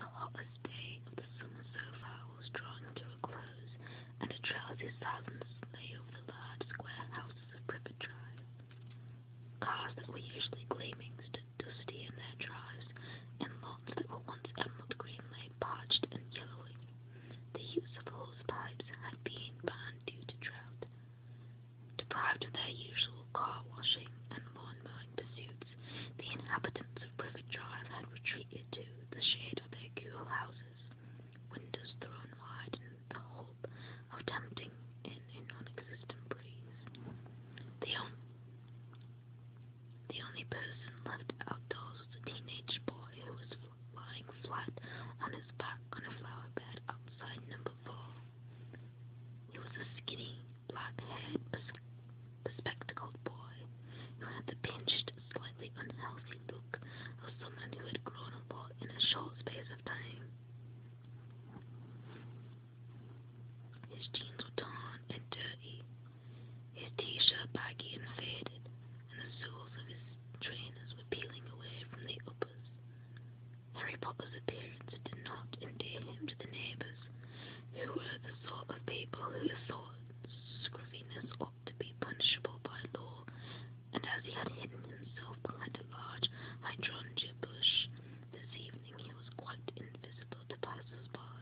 The hottest day of the summer so far was drawing to a close, and a drowsy silence lay over the large square houses of Privet Drive. Cars that were usually gleaming stood dusty in their drives, and lawns that were once emerald green lay parched and yellowing. The use of hose pipes had been banned due to drought, Deprived of their usual car washing and lawn mowing pursuits, the inhabitants of River Drive had retreated to the shade of their cool houses, windows thrown wide in the hope of tempting in a non-existent breeze. The, on the only person left outdoors was a teenage boy who was lying flat on his back on a flower bed outside number four. He was a skinny, black-haired, bespectacled boy who had the pinched, slightly unhealthy look of someone who had grown a lot in a short space of time. His jeans were torn and dirty, his t-shirt baggy and faded, and the soles of his trainers were peeling away from the uppers. Harry Potter's appearance did not endear him to the neighbours, who were the sort of people who thought scruffiness ought to be punishable by law, and as he had hidden himself behind a large hydrangea bush this evening, he was quite invisible to passers-by.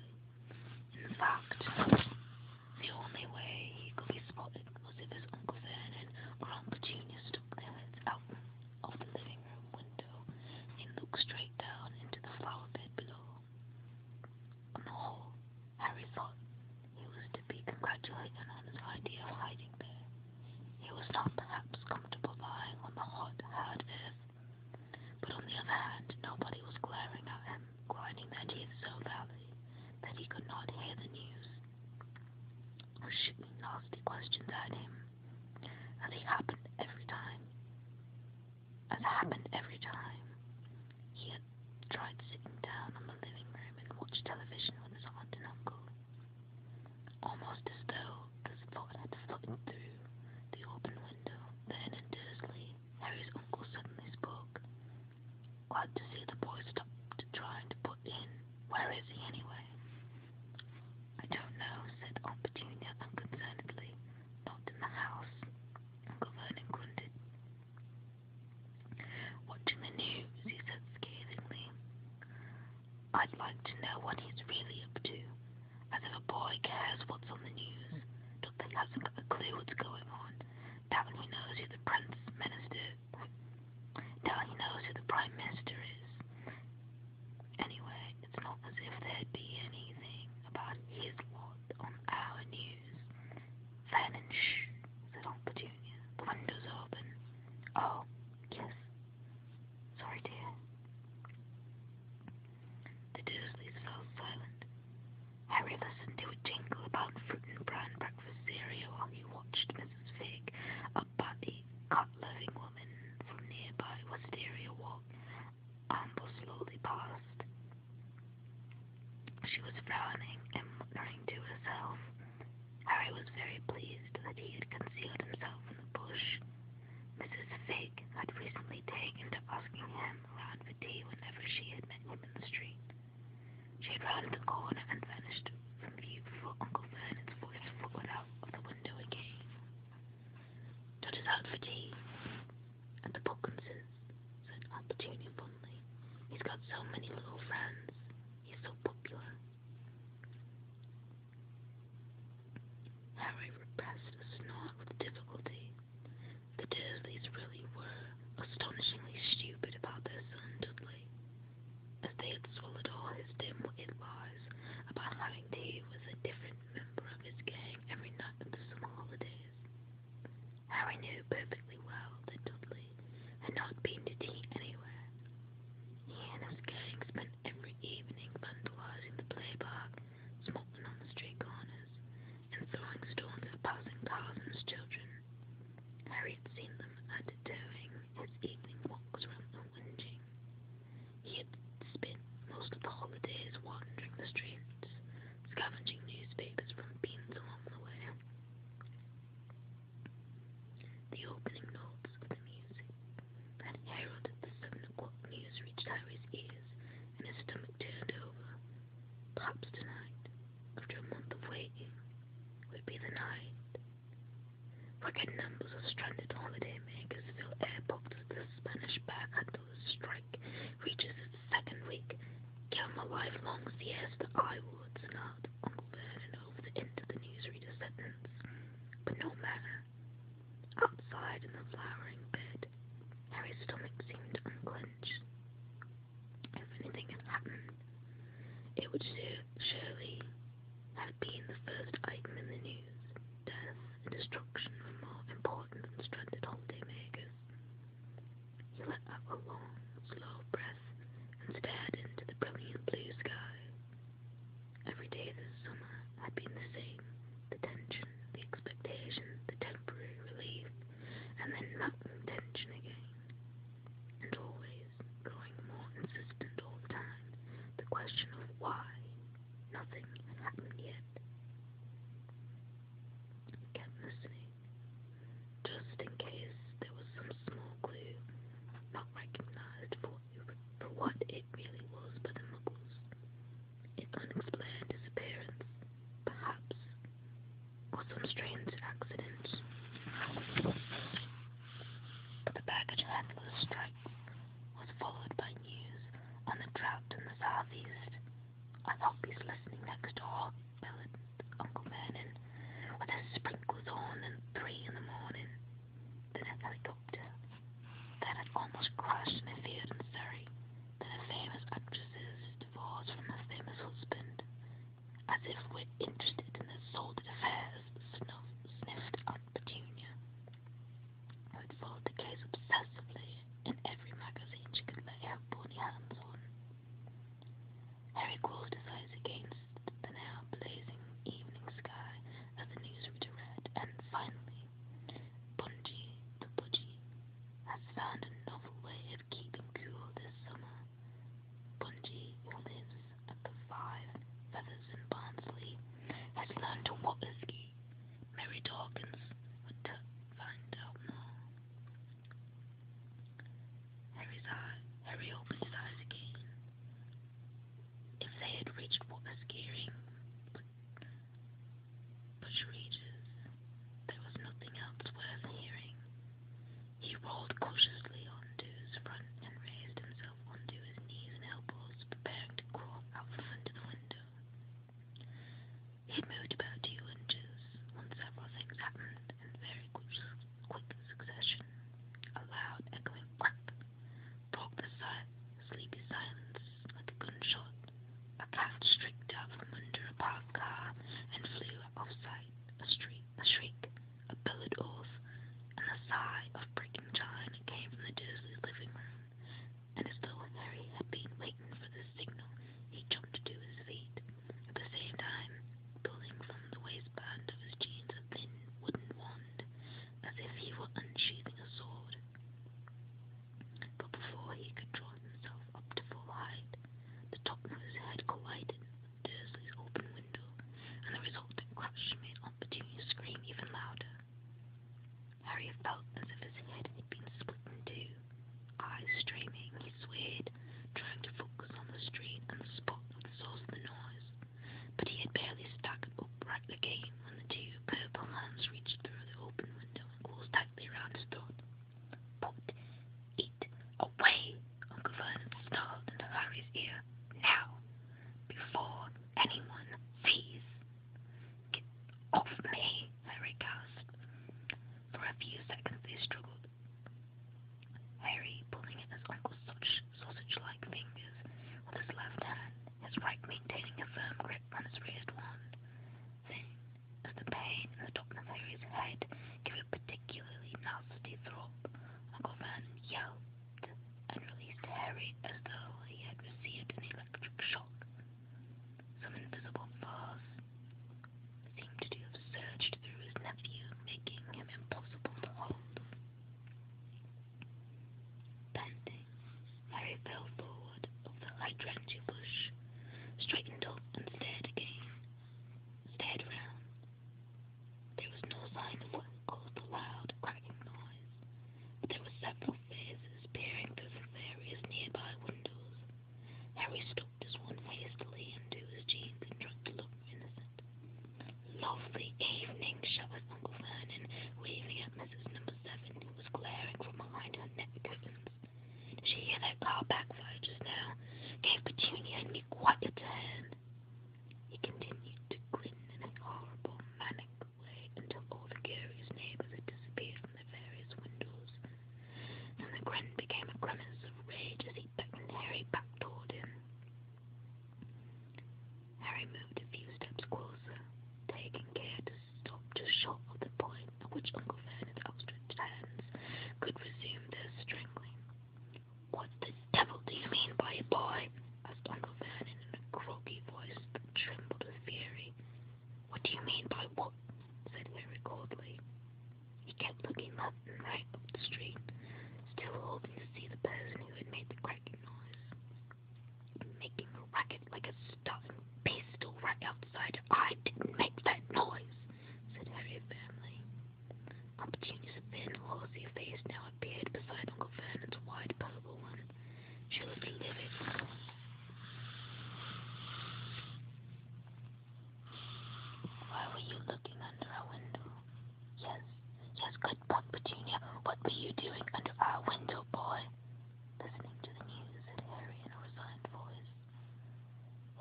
In fact, the only way he could be spotted was if his Uncle Vernon or Aunt Petunia stuck their heads out of the living room bedroom window and looked straight down into the flower bed below. On the whole, Harry thought he was to be congratulated on his idea of hiding there. He was not perhaps comfortable lying on the hot, hard earth, but on the other hand, nobody was glaring at him, grinding their teeth so loudly that he could not hear the news, or shooting nasty questions at him. And it happened every time. As happened every time. He had tried sitting down on the living room and watched television with his aunt and uncle. Almost as though this thought had fluttered through the open window. Then in Dursley, Harry's uncle suddenly spoke. Glad to see the boy stopped trying to put in. Where is he anyway? I don't know, said Aunt Petunia unconcernedly. Not in the house, Uncle Vernon grunted. Watching the news, he said scathingly. I'd like to know what he's really up to, as if a boy cares what's on the news, till they hasn't got a clue what's going on, down he knows who the Prince Minister, down he knows who the Prime Minister is, Anyway, it's not as if there'd be anything about his lot on our news. Fan and shh, said Aunt Petunia. The window's open. Oh, yes. Sorry, dear. The Dursleys fell silent. Harry listened to a jingle about fruit and bran breakfast cereal while he watched Mrs. Fig a puppy cut-loving woman from nearby Wisteria Walk ambled slowly past. She was frowning and muttering to herself. Harry was very pleased that he had concealed himself in the bush. Mrs. Fig had recently taken to asking him round for tea whenever she had met him in the street. She had rounded the corner and vanished from view before Uncle Vernon's voice followed out of the window again. Dot is out for tea, and the Pockenses, said Aunt Petunia fondly. He's got so many little friends. He's so popular. Harry repressed a snort with difficulty. The Dursleys really were astonishingly stupid about their son Dudley, as they had swallowed all his dim-witted lies surprise upon learning Dave was a different member of his gang every night of the summer holidays. Harry knew perfectly well that Dudley had not been to tea anywhere. He and his gang spent every evening vandalizing the play park, smoking on the street corners, and throwing stones at passing cars and children. Harry had seen them at doing his evening walks around the hunting. He had spent most of the holidays wandering the streets, scavenging newspapers from bins along the way. The opening notes of the music that heralded the seven o'clock news reached Harry's ears, and his stomach turned over. Perhaps tonight, after a month of waiting, would be the night. Record numbers of stranded holidaymakers fill airports as the Spanish backhandlers strike reaches its second week. Give them a lifelong siesta, I would, snarled Uncle Vernon over the end of the newsreader sentence. But no matter. Outside in the flowering bed, Harry's stomach seemed unclenched. If anything had happened, it would surely have been the first item in the news death, and destruction were more important than stranded holidaymakers. He let out a long, slow breath and stared into the brilliant blue sky. Every day this summer had been the same the tension, the expectation, the temporary relief, and then mounting tension again. And always, growing more insistent all the time, the question of why, Nothing had happened yet. He kept listening, just in case there was some small clue not recognized for, for what it really was by the Muggles. An unexplained disappearance, perhaps, or some strange accident. But the baggage handler's strike was followed by news on the drought in the southeast. I thought he's listening next door, bellowed Uncle Vernon, with his sprinklers on and three in the morning. Then a helicopter that had almost crashed in a field in Surrey. Then a famous actress's divorce from a famous husband. As if we're interested in their sordid affairs, snuff, sniffed Aunt Petunia who would fold the case obsessively in every magazine she could lay her bony hands on. Harry closed his eyes against the now blazing evening sky as the newsreader read, and finally, Bungie the Budgie has found a novel way of keeping cool this summer. Bungie, who lives at the Five Feathers in Barnsley, has learned to water ski Mary Dawkins would find out more. Harry's eye, Harry opened his eyes again. If they had reached what was gearing, Bush Regis, there was nothing else worth hearing. He rolled cautiously onto his front and raised himself himself onto his knees and elbows, preparing to crawl out from under the window. He had moved about two inches when several things happened in very quick, quick succession. A loud, echoing clap broke the si- sleepy silence like a gunshot. A cat streaked out from under a parked car and flew off sight. A, streak, a shriek, a billet oath, and a sigh of breaking china came from the dismal living room and as though Harry had been waiting for this signal, he jumped to his feet, at the same time pulling from the waistband of his jeans a thin wooden wand, as if he were unsheathing a sword. But before he could draw himself up to full height, the top of his head collided with Dursley's open window, and the resulting crash made Opportunity scream even louder. Harry felt as if his head had been split in two. Eyes streaming, he swayed, trying to focus on the street and the spot that source of the noise. But he had barely stuck upright again when the two purple hands reached through the open window and closed tightly around his throat. Put it away, Uncle Vernon snarled into Harry's ear. Now, before anyone sees. Get off me, Harry gasped. For a few seconds they struggled, Harry pulling at his uncle's sausage-like fingers with his left hand, his right maintaining a firm grip on his raised wand. Then, as the pain in the top of Harry's head gave a particularly nasty throb, Uncle Vernon yelled and released Harry as though he had received an electric shock. Some invisible force seemed to have surged through his nephew, making him impossible to hold. Panting, Harry fell forward over the hydrangea bush, straightened up and stared again, stared round. There was no sign of what caused the loud, cracking noise, but there were several faces peering through the various nearby windows. Harry stooped his one hastily into his jeans and tried to look more innocent. Lovely evening, shouted Uncle Vernon, waving at Mrs. Number Seven, who was glaring from behind her net curtains. Did she hear that car backfire just now? Gave Petunia and me quite a turn. He continued to grin in an horrible, manic away until all the curious neighbours had disappeared from their various windows, and the grin became a grimace of rage as he beckoned Harry back toward him. Harry moved a few steps closer, taking care to stop just short of the point at which Uncle Vernon's outstretched hands could resume their strangling. What the devil do you mean by a boy? asked Uncle Vernon in a croaky voice that trembled with fury. What do you mean by what? said Harry coldly. He kept looking left and right up the street, still hoping to see the person who had made the cracking noise. Making a racket like a stuffed pistol right outside. I didn't make that noise, said Harry firmly. Aunt Petunia's thin, rosy face now appeared beside Uncle Vernon's wide, purple one. She was livid. Why were you looking under our window? Yes, yes, good buck, Petunia. What were you doing under our window, boy? Listening to the news, said Harry in a resigned voice.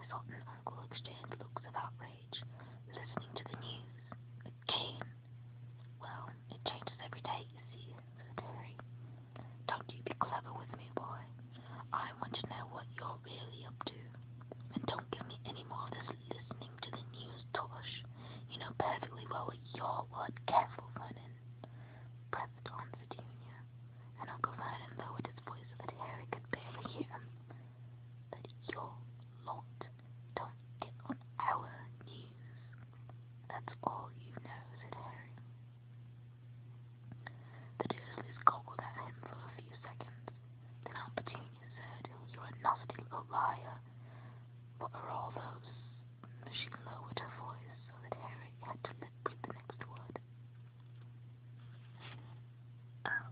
His aunt and uncle exchanged looks of outrage. Listening to the news. Again. Well, it changes every day, you see, said Harry. Don't you be clever with me, boy. I want to know what you're really up to. And don't give me any more of this listening to the news tosh. You know perfectly well what you're what careful Vernon, pressed on the junior, and Uncle Vernon lowered his voice so that Harry could barely hear him. But your lot don't get on our news. That's all you know, said Harry. The Doodleys goggled at him for a few seconds. Then Aunt Petunia said, You're a nasty little liar. What are all those? She lowered her voice so that Harry had to lip read the next word. Oh,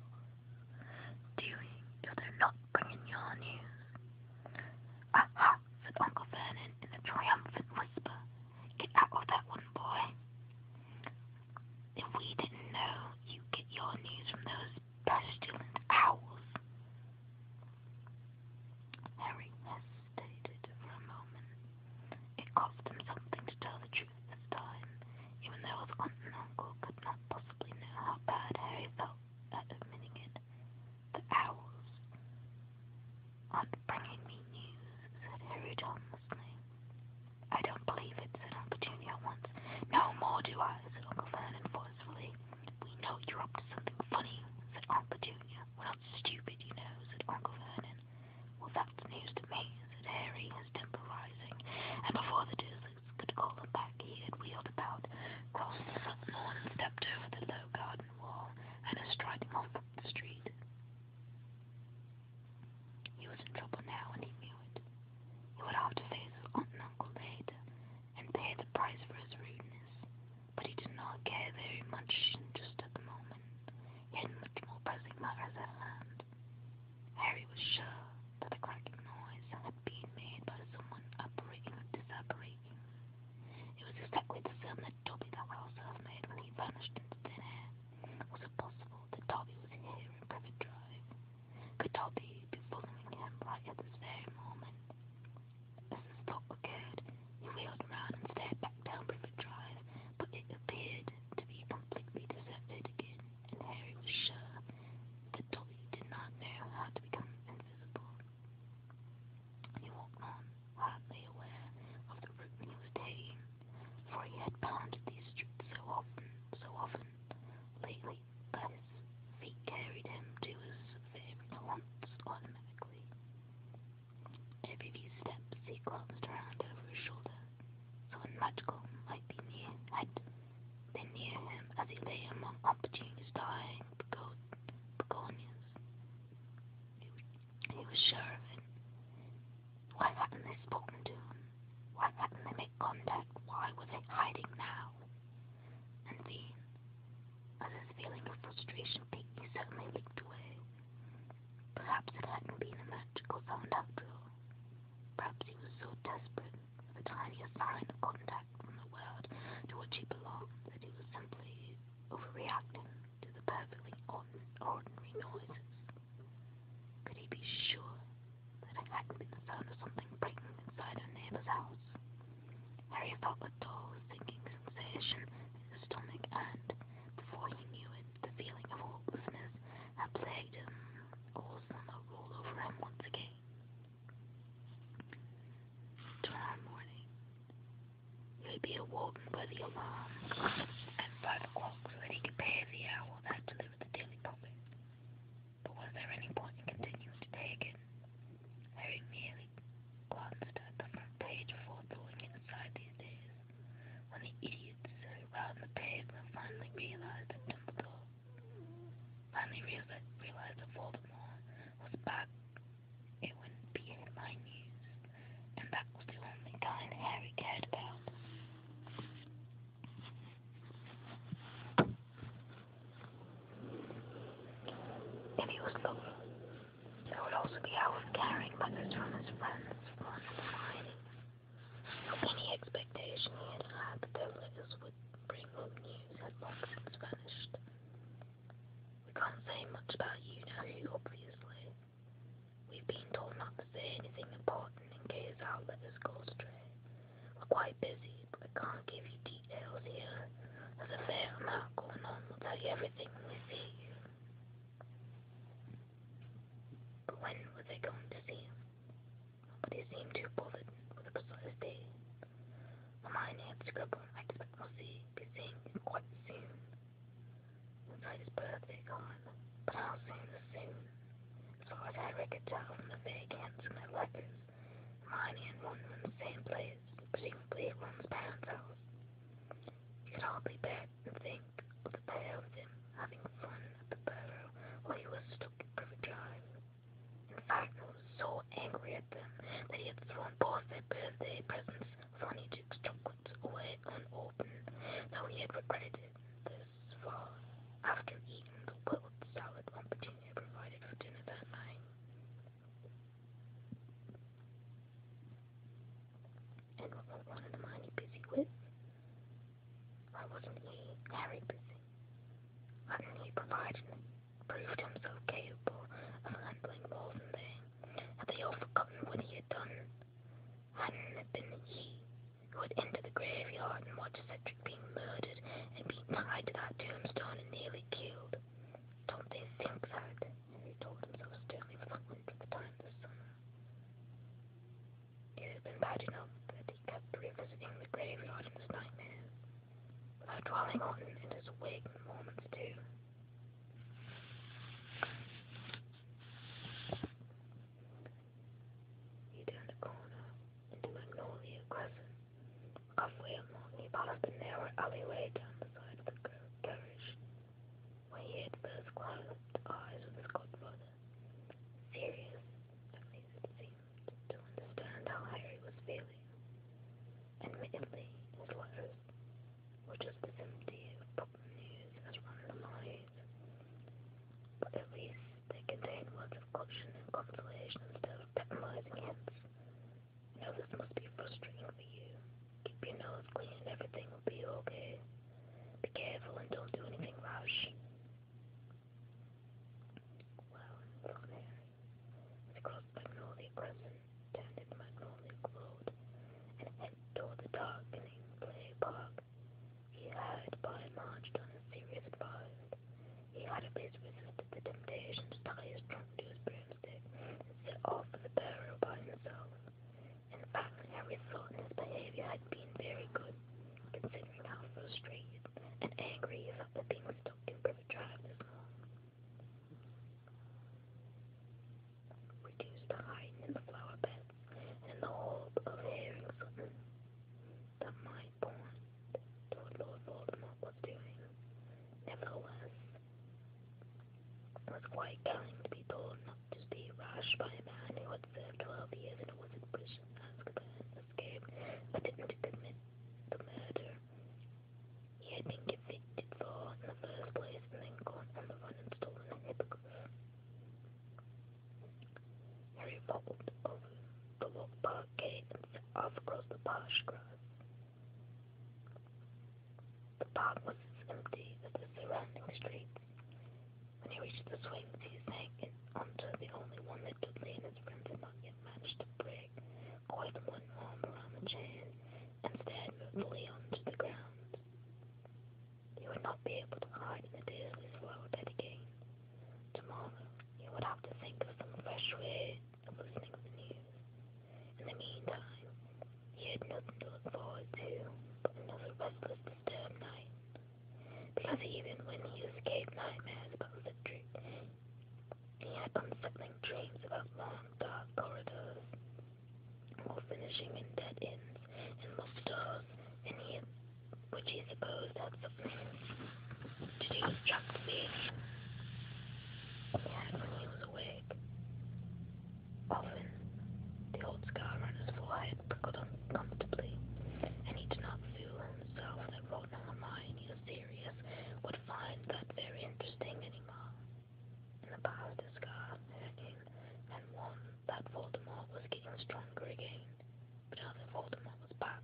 doing if they're not bringing your news. Uh, now," said Uncle Vernon, in a triumphant whisper, "get out of that one, boy. If we didn't know you get your news from those pestilent owls." Harry hesitated for a moment. It cost him something to tell the truth this time, even though his aunt and uncle could not possibly know how bad Harry felt at admitting it the owls aren't bringing me news, said Harry tonelessly. I don't believe it, said Uncle Junior at once. No more do I, said Uncle Vernon forcefully. We know you're up to something funny, said Uncle Junior. We're not stupid, you know, said Uncle Vernon. Well, that's news to me, said Harry, his temper rising, and before the Dursleys could call him back, he had wheeled about, crossed the lawn, and stepped over the low garden cabin wall and is striding off up the street. He was in trouble now and he knew it. He would have to face his aunt and uncle later and pay the price for his rudeness, but he did not care very much just at the moment. He had much more pressing matters at hand. Harry was sure that the cracking noise had been made by someone operating or disoperating it was exactly the film that Dobby the Houser had made when he vanished into thin air. Was it possible that Dobby was here in Privet Drive? Could Dobby be following him right at this very moment? As this thought occurred, he wheeled around and stared back down Privet Drive, but it appeared to be completely deserted again, and Harry was sure that Dobby did not know how to become invisible. He walked on, hardly aware of the route he was taking, for he had pounded these streets so often, so often lately that his feet carried him to his favourite haunts automatically. Every few steps he glanced around over his shoulder. Someone magical might be near, had been near him as he lay among opportunities dying begon- begonias. He was sure of it. Why hadn't they spoken to him? Why hadn't they made contact? Why were they hiding now? And then, as his feeling of frustration peaked, he suddenly looked away. Perhaps it hadn't been a magical sound after all. Perhaps he was so desperate for the tiniest sign of contact from the world to which he belonged that he was simply overreacting to the perfectly ordinary noises. Could he be sure that it hadn't been the sound of something breaking inside a neighbor's house? Harry felt a dull, sinking sensation in his stomach, and before he knew it, the feeling of hopelessness had plagued him all summer all over him once again. Tomorrow morning, Ruby awoke by the alarm at five o'clock so that he could pay the owl uh, that delivered the daily pocket. But was there any point in continuing to take it? Harry merely glanced at the front page before going inside these days, when the idiots sitting round the pavement finally realized that Dumbledore finally realized, realized that Voldemort was back it wouldn't be in my news, and that was the only kind Harry cared about. If he was lucky, there would also be hours carrying buckets from his friends for another Any expectation he had had that their letters would bring him news had long since vanished. We can't say much about you now, obviously. We've been told not to say anything important in case our letters go astray. We're quite busy, but I can't give you details here. There's a fair amount going on. We'll tell you everything when we see you. But when were they going to see him? Nobody seemed too bothered with a precise date on my native scribble. I expect we'll see, be seeing him quite soon. Inside his birthday card, but I'll see him soon. So as Harry could tell from the vague hints in their letters, Hermione and Ron were in the same place, presumably at Ron's parents' house. You could hardly bear to think of the pair of them having fun at the burrow while he was stuck in Private Drive. In fact, I was so angry said that he had thrown both their birthday presents, Fanny Duke's chocolates, away unopened, though he had regretted it this far after eating the wilt salad Aunt Petunia provided for dinner that night. And what were Ron and Hermione busy with? Why wasn't he, Harry, busy? Why didn't he provide an proved himself capable of handling more than they. Had they all forgotten what he had done? Hadn't it been he who had entered the graveyard and watched Cedric being murdered and being tied to that tombstone and nearly killed? Don't they think that? Harry told himself sternly for the hundredth time this summer. It had been bad enough that he kept revisiting the graveyard in his nightmares, without dwelling on it in his waking moments too. He turned the corner into Magnolia Crescent, halfway along he passed the narrow alleyway down the side of the carriage, where he had first closed eyes with his godfather, serious, at seemed, to understand how Harry was feeling. Admittedly, his letters which is the same day of pop news as Randomized. But at least they contain words of caution and consolation instead of patronizing hints. You know this must be frustrating for you. Keep your nose clean and everything will be okay. Be careful and don't do anything rash. Well, it's on air. The crossed magnolia crescent, tended magnolia glowed, and head toward the darkening play park. He had by and large done as serious advised. He had at least resisted the temptation to tie his trunk to his broomstick and set off for the borough by himself. In fact, Harry thought his behavior had been very good, considering how frustrated and angry he felt at being stuck in Privet Drive this morning. Reduce the height in the flower bed and the hold of herrings that might point to what Lord Voldemort was doing. Nevertheless, it was quite telling to be told not to be rushed by a man who had served twelve years in a wizard prison, Azkaban, escaped, but didn't commit the murder he had been convicted for in the first place and then gone on the run and stolen the hippogriff. Harry waddled over the log park gate and set off across the parched grass. The park was as empty as the surrounding streets. When he reached the swings, he sank in onto the only one that Dudley and his friends had not yet managed to break leg, coiled one arm around the chain, and stared moodily onto the ground. He would not be able to hide in the Disney's world that again. Tomorrow, he would have to think of some fresh way of listening to the news. In the meantime, he had nothing to look forward to but another restless, disturbed night. Because even when he escaped nightmares about the dream, he had unsettling dreams about long, dark corridors, all finishing in dead ends and locked doors, and he, which he supposed had something to do with Chapsy. He had when he was awake. Often, the old scar on his forehead prickled uncomfortably, and he did not feel himself that Rodney Hermione, or Sirius, would find that very interesting anymore. The past is gone again, and one that Voldemort was getting stronger again. But now that Voldemort was back,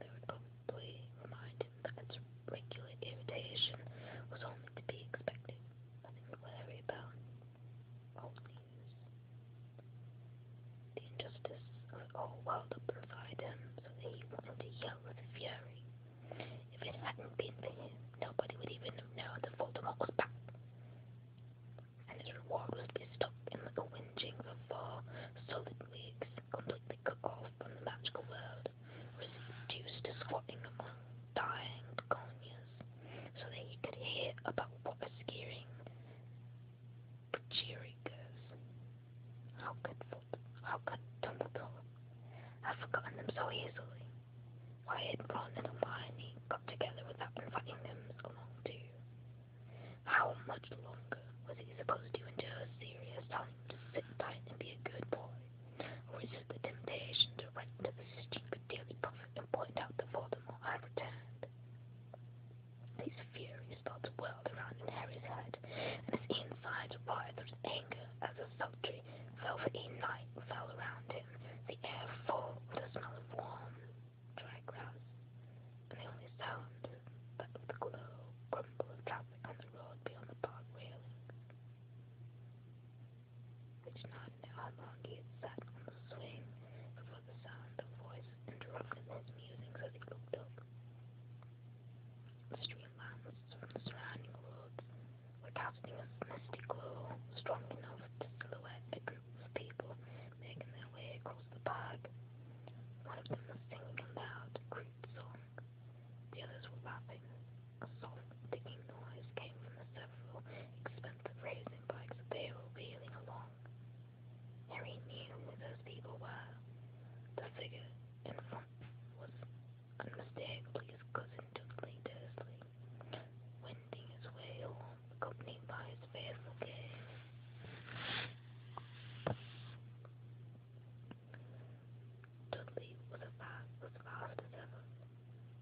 they would probably remind him that its regular irritation was only to be expected. Nothing to worry about. Old news. The injustice whole world uprified him so that he wanted to yell with fury. If it hadn't been for him, nobody would even have known that Voldemort was back. And his reward was to be stuck in the whinging for four solid weeks, completely cut off from the magical world, reduced to squatting among dying begonias, so that he could hear about what was scaring Pachiri goes. How could how could Dumbledore have forgotten them so easily? Why had Ron and Hermione got together without inviting them along too? How much longer was he supposed to endure Sirius telling to sit tight and be a good boy, resist the temptation to write to the stupid Daily Prophet and point out to Voldemort I returned? They furious thoughts whirled around in Harry's head, and his insides writhed with anger as the sultry, velvety night fell around him, the air full with the smell of warm, dry grass, and the only sound that of the glow crumble of traffic on the road beyond the park railings. He did not know how long he had sat on the swing before the sound of voices interrupted his musings as he looked up. Street lamps from the surrounding woods were casting a misty glow strong enough to silhouette a group of people making their way across the park. One of them was singing a loud, crude song. The others were laughing. A soft, ticking noise came from the several expensive racing bikes they were wheeling along. Harry knew who those people were. The figure in front was a mistake. Lee's cousin took Lee Dursley, wending his way along, accompanied by his fair brigade. Dudley was, a fast, was fast as ever.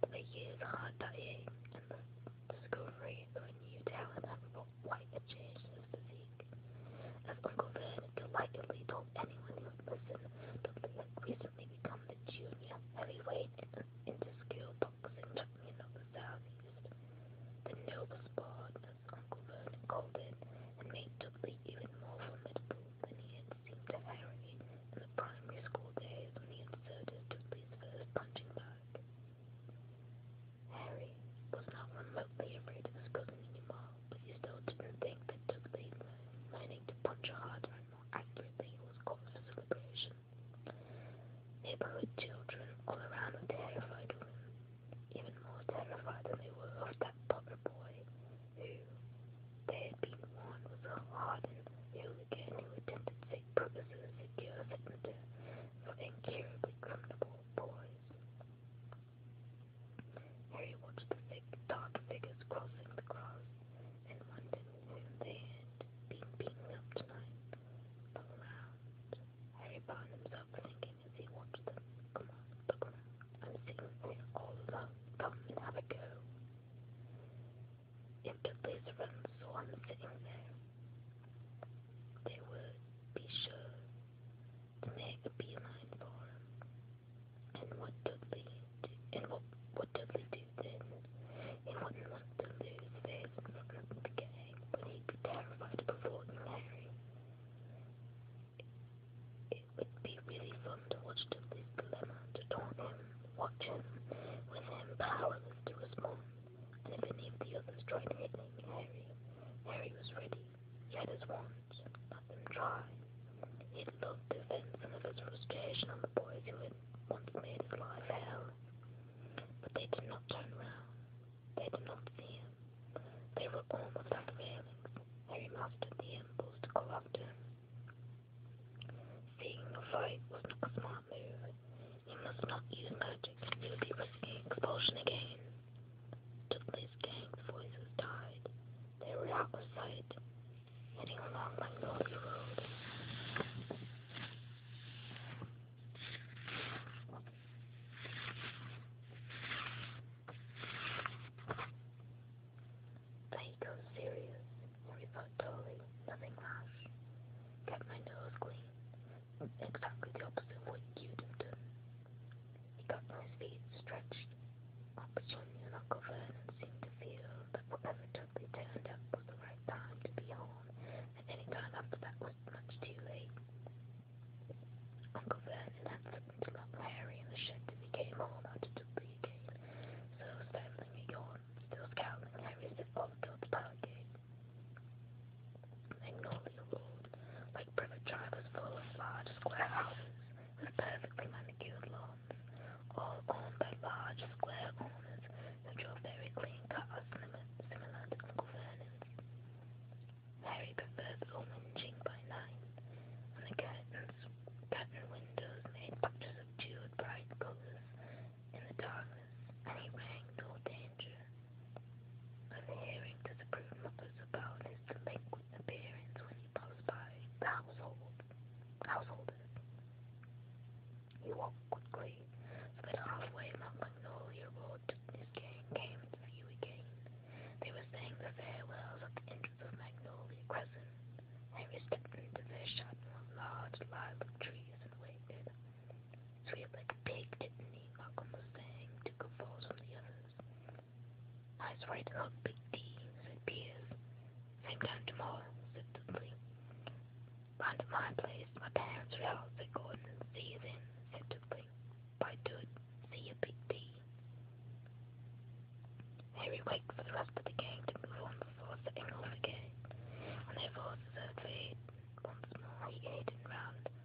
The years hard dying and the discovery of a new talent had quite a change in his physique. As Uncle Ben delightedly told anyone who would listen, Dudley had recently become the junior heavyweight in, into school boxing champion of the Southeast. The noble sport, as Uncle Vernon called it, had made Dudley even more formidable than he had seemed to Harry in the primary school days when he inserted Dudley's first punching bag. Harry was not remotely afraid of his cousin anymore. Please note that the thing that took the lining to puncture harder and more accurately was cause for celebration. Neighborhood children all around were terrified of him, even more terrified than they were of that potter boy, who, they had been warned, was a hardened hooligan who attempted sick purposes to cure signature for incurably criminal boys. Harry watched the thick, dark figures crossing the grass and wondered whom they had been beating up tonight. Look around. Harry found himself thinking as he watched them. Come on, look around. I'm sitting here all alone. Come and have a go. Empty around, so I'm sitting there. They would be sure to make a beeline for him. And what Dudley do, and what, what Dudley do then? He wouldn't want to lose face in front of the gang, but he'd be terrified of avoiding Harry. It, it would be really fun to watch Dudley's dilemma, to taunt him, watch him, with him powerless to respond. And if any of the others tried hitting Harry, Harry was ready. He had his wand words, let them try. He'd love to vent some of his frustration on the boys who had once made his life hell. But they did not turn round. They did not see him. They were almost at the railings. Harry mastered the impulse to go after him. Seeking a fight was not a smart move. He must not use magic. He would be risking expulsion again. Dudley's gang's voices died. They were out of sight, heading along Magnolia Road. Tycho's serious, Henry thought totally, nothing rash. Kept my nose clean. Exactly the opposite of what you'd have done. He got on his feet, stretched up swung an over and seemed to feel that whatever took they turned up was the right time to be home, and any time after that was much too late. Uncle Vernon had something to lock Harry in the shed till he came home out of Dudley again, so stifling a yawn, still scowling, Harry set off toward the park gate. Magnolia Road like perfect drivers full of large square houses with perfectly manicured lawns, all owned by large square owners who drove very clean cars similar to Uncle Vernon's. Harry preferred the lynching by night, and the curtains, curtain windows made pictures of jeweled bright colours in the darkness, and he rang no danger of hearing disapproved mothers curious about is the liquid's appearance when he passed by the household householders. He walked quickly, but halfway among Magnolia Road his gang came into view again. They were saying the farewells at the entrance of Magnolia Crescent. Henry stepped into their shadow of large lilac trees and waited. Sweet like a pig, didn't he? Malcolm was saying to conform from the others. I swear it's not oh, Big D, said Piers. Same time tomorrow, said Dudley. Round at my place, my parents are out, said Gordon. See you then, said Dudley. By Dud, see you, Big D. Harry waited for the rest of the gang to move on before setting off again. When their voices heard for once more, he headed round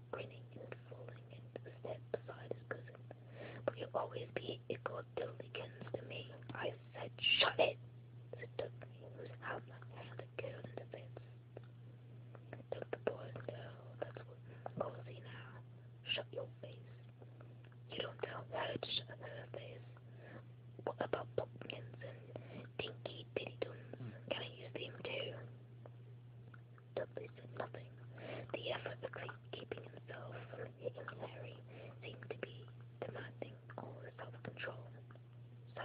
smiling, grinning, and falling into step beside his cousin. But you'll always be equal Dillikins to me. I said, shut it, said Dudley, whose outlook had a girl in the fence. Took the boy and girl, that's what I'll see now. Shut your face. You don't tell her to shut her face. What about Popkins and Dinky Diddy Duns? Can I use them too? Dudley said nothing. The effort of keeping himself from hitting Harry seemed to be demanding all his self-control. So,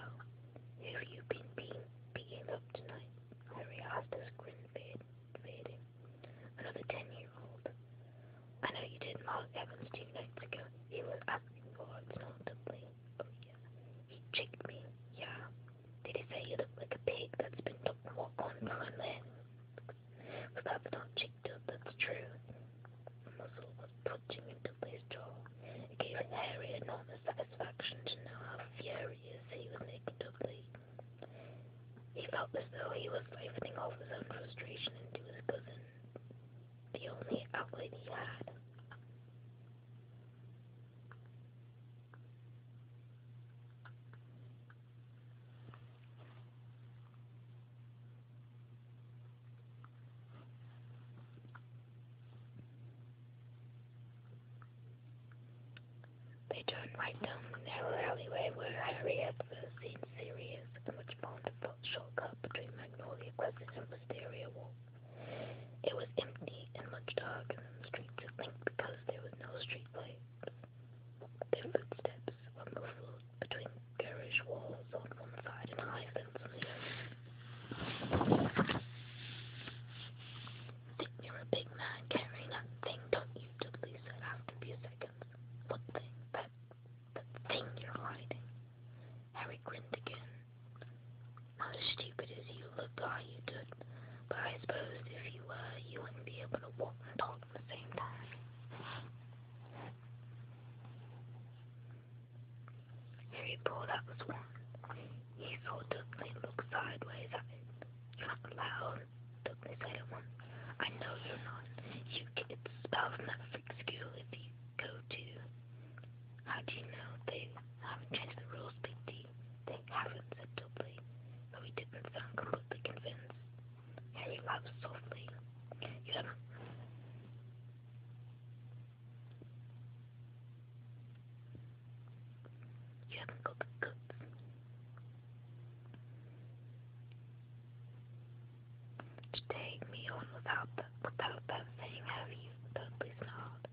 who've you been being, beating up tonight? Harry asked as grin fade, fading. Another ten-year-old. I know you did Mark Evans two nights ago. He was asking for it, not Dudley. Oh yeah. He checked me. Yeah. Did he say you look like a pig that's been looked walk on nine legs? But that's not cheeked up, that's true. A muzzle was twitching into his jaw. It gave Harry enormous satisfaction to know how furious he was making Dudley. He felt as though he was siphoning off his own frustration into his cousin, the only outlet he had. They turned right down the narrow alleyway where Harry had first seen Sirius, and which formed a shortcut between Magnolia Crescent and Wisteria Walk. It was empty and much darker than the streets that linked the there was no streetlight. Their footsteps were muffled between garage walls on one side and high fence you're a big man carrying that thing, don't you? Dudley said after a few seconds. What thing? That, that thing you're hiding. Harry grinned again. Not as stupid as you you look all you could. But I suppose if you were, you wouldn't be able to walk and talk at the same time. Harry pulled out the swan. He ultimately looked sideways at it. You're not allowed, Dudley said at once. I know you're not. You kids spell from that freak school if you go to. How do you know they haven't changed the rules, Big D? Thank heaven, said Dudley, though he didn't sound completely convinced. Harry laughed softly. You don't You haven't got the goods. To take me on without the, without that saying have you? Dudley snarled.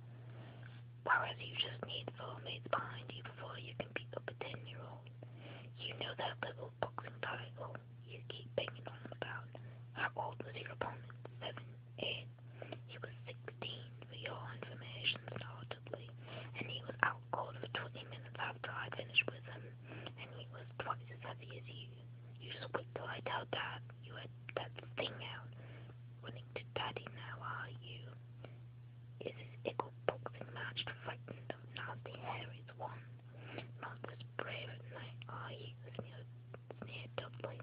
Whereas you just need soulmates behind you before you can beat up a ten-year-old. You know that little boxing title you keep banging on about. How old was your opponent? Seven, eight. He was sixteen, for your information, startedly, and he was out cold for twenty minutes after I finished with him, and he was twice as heavy as you. You just wait till I tell Dad you had that thing out. Running to Daddy now, are you? Is his eagle boxing match frightened of nasty Harry's one? Not this brave knight are ye, sneered, sneered Dudley.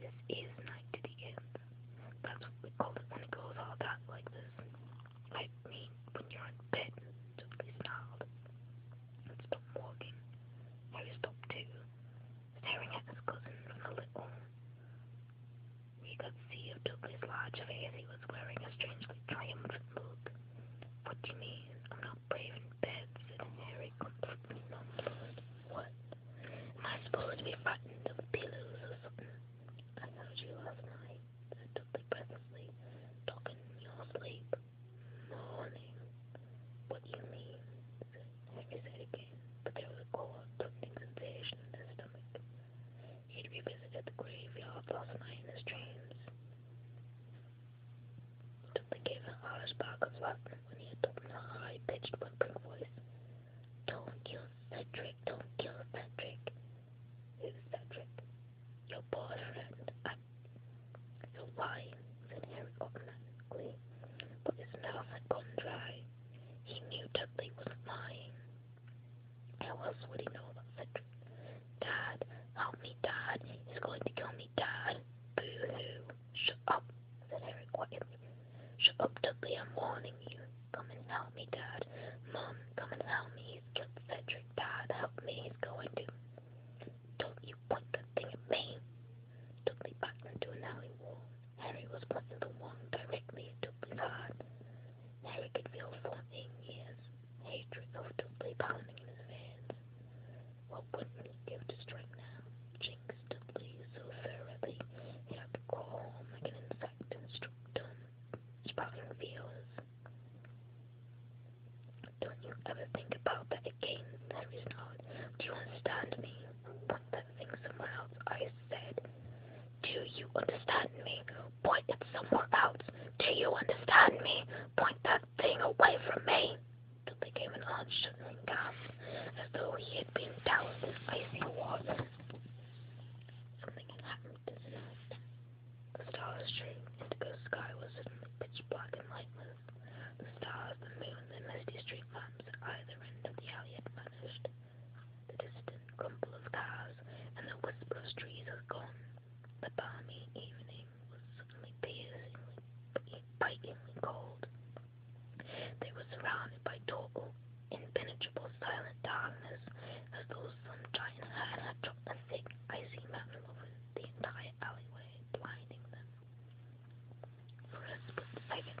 This is night to the end. That's what we call it when it goes all that like this. I mean, when you're in bed, Dudley snarled. And stopped walking. Harry stopped too, staring at his cousin from the little we could see who took his large face he was wearing a strangely triumphant look. What do you mean? I'm not brave in bed, said Harry, completely nonplussed. What? Am I supposed to be frightened of pillows or something? I heard you last night, said Dudley presently, talking in your sleep. Morning. What do you mean? Harry said again, but there was a cold, tingling sensation in his stomach. He'd revisited the graveyard last night in his dreams. Dudley gave an Irish bark of luck when he adopted a high-pitched whimpering voice. Don't kill Cedric, don't kill Cedric. Who's Cedric? Your boyfriend. I... You're lying, said Harry automatically, but his mouth had gone dry. He knew Dudley was lying. How else would he know about Cedric? Dad, help me, Dad. He's going to kill me, Dad. Boo-hoo. Shut up, said Harry quietly. Shut up, Dudley, I'm warning you. Come and help me, Dad. Mom, come and help me. He's killed Cedric. Dad, help me. He's going to... Don't you point that thing at me. Dudley backed into an alley wall. Harry was pushing the wand directly into Dudley's heart. Harry could feel fluttering years, hatred of Dudley pounding in his veins. What would he give to strike now? Jinx Dudley so thoroughly he had to crawl home like an insect and struck dumb, spouting fears. Don't you ever think about that again, Harry's nod. Do you me? But cleansing somewhere else, I said. Do you understand me? Point it somewhere else. Do you understand me? Point that thing away from me. There became an odd shuddering gasp, as though he had been doused in icy water. Something had happened to Celeste. The stars streamed into the sky was suddenly pitch black and lightless. The stars, the moon, the misty street lamps at either end of the alley had vanished. The distant rumble of cars and the whisper of trees has gone. The balmy evening was suddenly piercingly, bitingly cold. They were surrounded by total, impenetrable, silent darkness, as though some giant hand had dropped a thick, icy mantle over the entire alleyway, blinding them. For a split second,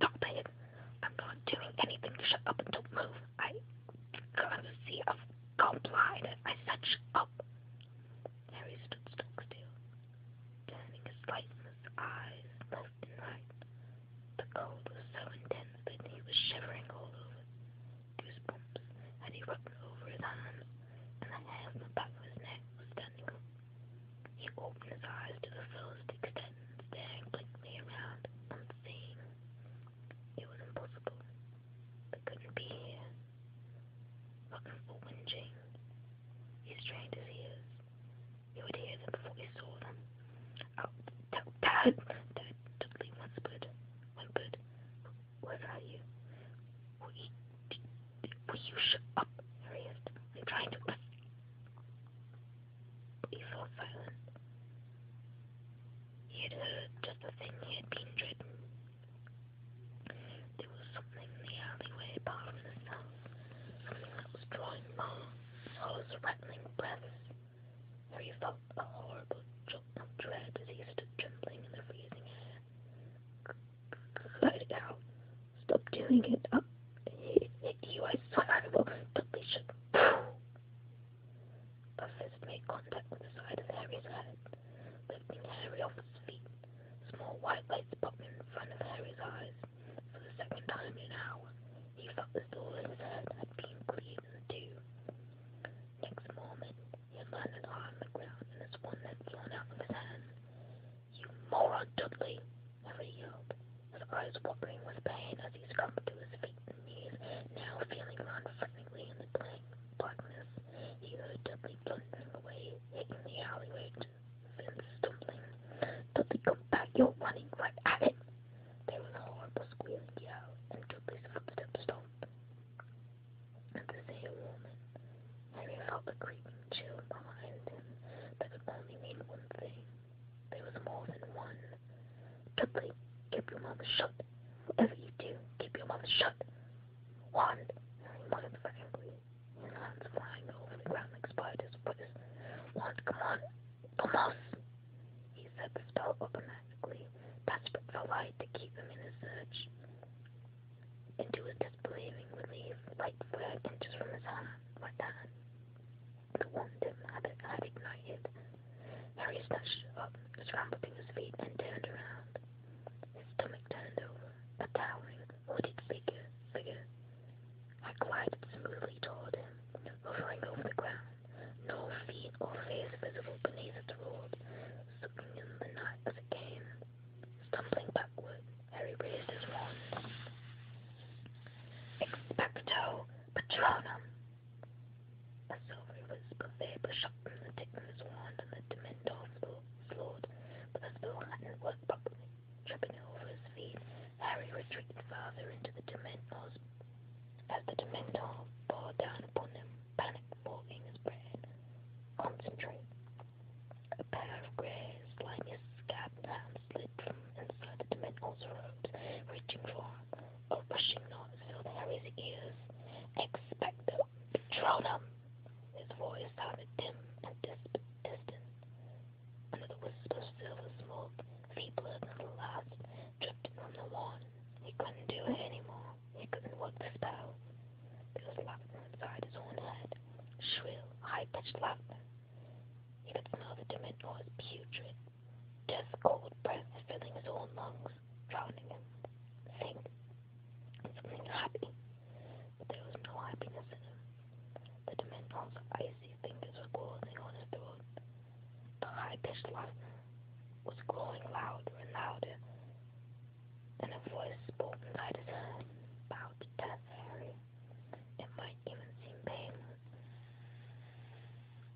Don't pay it. I'm not doing anything to shut up and don't move. I can't see. I've gone blind. I said shut up. Harry stood stock still, turning his light from his eyes left and right. The cold was so intense that he was shivering all over. Goosebumps had erupted over his arm, and the hair on the back of his neck was standing up. He opened his eyes to the fullest extent and stared blankly around, unseeing. It was impossible. They couldn't be here. Looking for whinging. He strained his ears. He would hear them before he saw them. Oh, Dad! Dad suddenly whispered. Whimpered. Where are you? Will will you shut up, Harriet? I'm trying to before Fallon. He had heard just the thing he had been dreading. There was something in the alleyway apart from the sun, something that was drawing Mark's horse rattling breath, for he felt a horrible jolt of dread as he stood trembling in the freezing air. Could it out? Stop doing it. I'll hit, hit you, I swear I will. Deletion. A fist made contact with the side of Harry's head, lifting Harry off his feet. Small white lights popped in front of Harry's eyes. For the second time in an hour, he felt the door in his head had been cleaved in two. Next moment, he had landed hard on the ground and his one had flown out of his hand. You moron, Dudley! Every yelp, his eyes watering with pain as he struggled to his feet and knees, now feeling round frantically in the blank darkness. He heard Dudley blundering away, hitting the alleyway to then stumbling. Dudley, come back, you're running right at it! There was a horrible squealing yell, and Dudley's footsteps stopped. At the same moment, Harry felt a creeping chill behind him that could only mean one thing. There was more than one. Dudley, keep your mouth shut. Whatever you do, keep your mouth shut. One. Motherfuckingly. His hands flying over the ground like spiders. Please. One, come on. Thomas! He said the spell automatically, desperate for light to keep him in his search. Into his disbelieving relief, light flared inches from his hand, right hand but one dim habit I had ignited. Harry snatched it up, scrambled to his feet, and turned around. His stomach turned over, a towering, hooded figure, figure. I glided smoothly toward him, hovering over the ground, no feet or face visible beneath its robe, sucking in the night as it came. Stumbling backward, Harry raised his wand. Expecto Patronum. A silvery wisp vapour shot from the Titan's wand, and the Dementor floored, but the spell hadn't worked properly. Tripping over his feet, Harry retreated farther into the Dementor's as the Dementor bore down upon him, panic fogging his brain. Concentrate. A pair of grey, slimy, hands slid from and the men also wrote, reaching for or pushing on filled Harry's ears. Expect them, them. His voice sounded dim and dis- distant. Another wisp of silver smoke, feebler the last, drifted on the lawn. He couldn't do it anymore. He couldn't work the spell. He was laughing inside his own head, shrill, high-pitched laughter. He could smell the dimension putrid. Death's cold breath filling his own lungs, drowning him. Think, something happy, but there was no happiness in him. The Dementor's icy fingers were closing on his throat. The high-pitched laughter was growing louder and louder, and a voice spoke inside his head, death, Harry. It might even seem painless.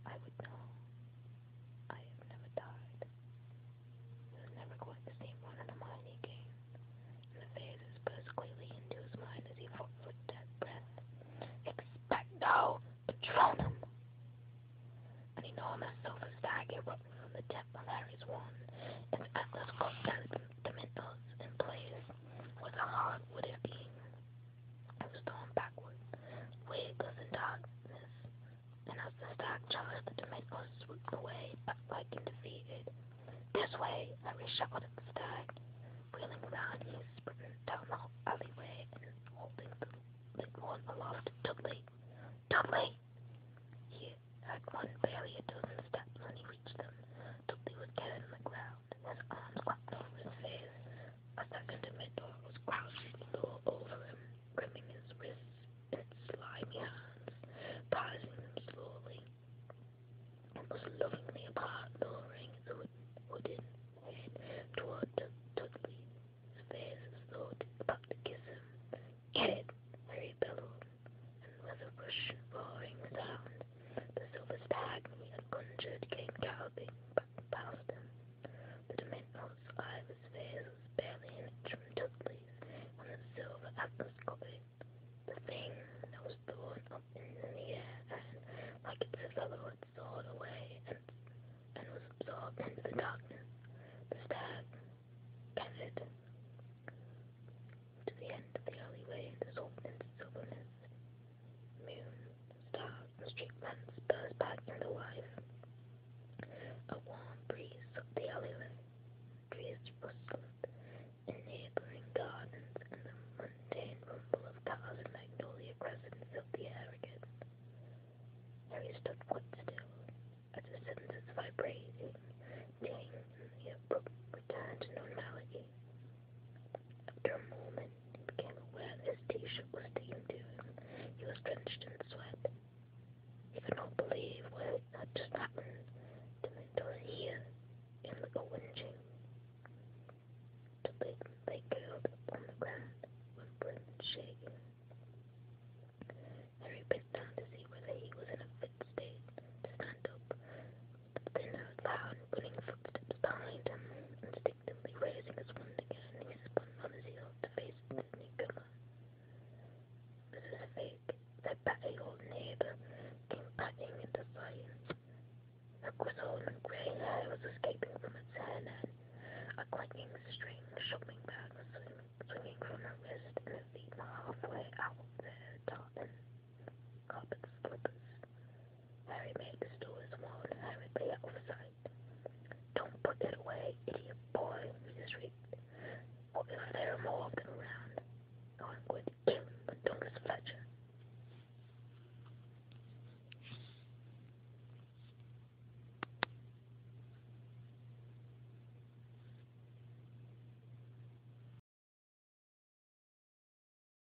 I would know. I have never died. It was never going to seem one of the mine again. And the face was pressed quickly into his mind as he fought for dead breath. Expect no patronum! An enormous silver stag erupted from the tip of Harry's wand. Its atlas caught and in place was a hard wooden beam was thrown backward, weightless in darkness, and as the stag charged, the Dominican swooped away, upright and defeated. This way, Harry shouted at the stag. Wheeling round, he sprinted down the alleyway and holding the horn aloft. Dudley! Dudley! He had run barely a dozen steps when he reached them. Dudley was carrying the glass around his arms wrapped over his face. A second middle was crouched low over him, gripping his wrists in its slimy hands, passing them slowly. It was lovingly apart, lowering the wooden head toward Dudley's face as though about to kiss him. Get it, Harry bellowed, and with a rush roaring sound, the silver stag whom he had conjured came galloping back past him. The Dementnor's eye was fierce as barely an inch from Dudley's when the silver atlas caught it. The thing that was thrown up in the air and, like its fellow, had soared away and, and was absorbed into the darkness. The stag gathered to the end of the alleyway and dissolved into silver mist moon, stars, streetlamps burst back from the wife. A warm breeze up the alleyway, trees rustled in neighboring gardens, and the mundane rumble of cars in Magnolia Crescent filled the air again. Harry stood quite still as his senses vibrating, tinged in the abrupt return to normality. After a moment, he became aware that his t-shirt was sticking to him. He was drenched in sweat. He could not believe what had just happened to Mintos here in the golden chain. They, they curled up on the ground with Brent shaking. Harry bent down to see whether he was in a fit state to stand up, then heard loud running footsteps behind him. Instinctively raising his wand again, he spun on his heels to face the newcomer. Mrs. Fake, their batty old neighbour, came padding into sight. Her grizzled and grey hair was escaping from its hairnet. A clanking string shopping bag was swing swinging from her wrist, and her feet were halfway out of their tartan carpet slippers. Harry Meg's door is warned Harry be off-site. Don't put it away, idiot boy, he shrieked. What if there are more of them around? Oh, I'm going to kill Dungus Fletcher.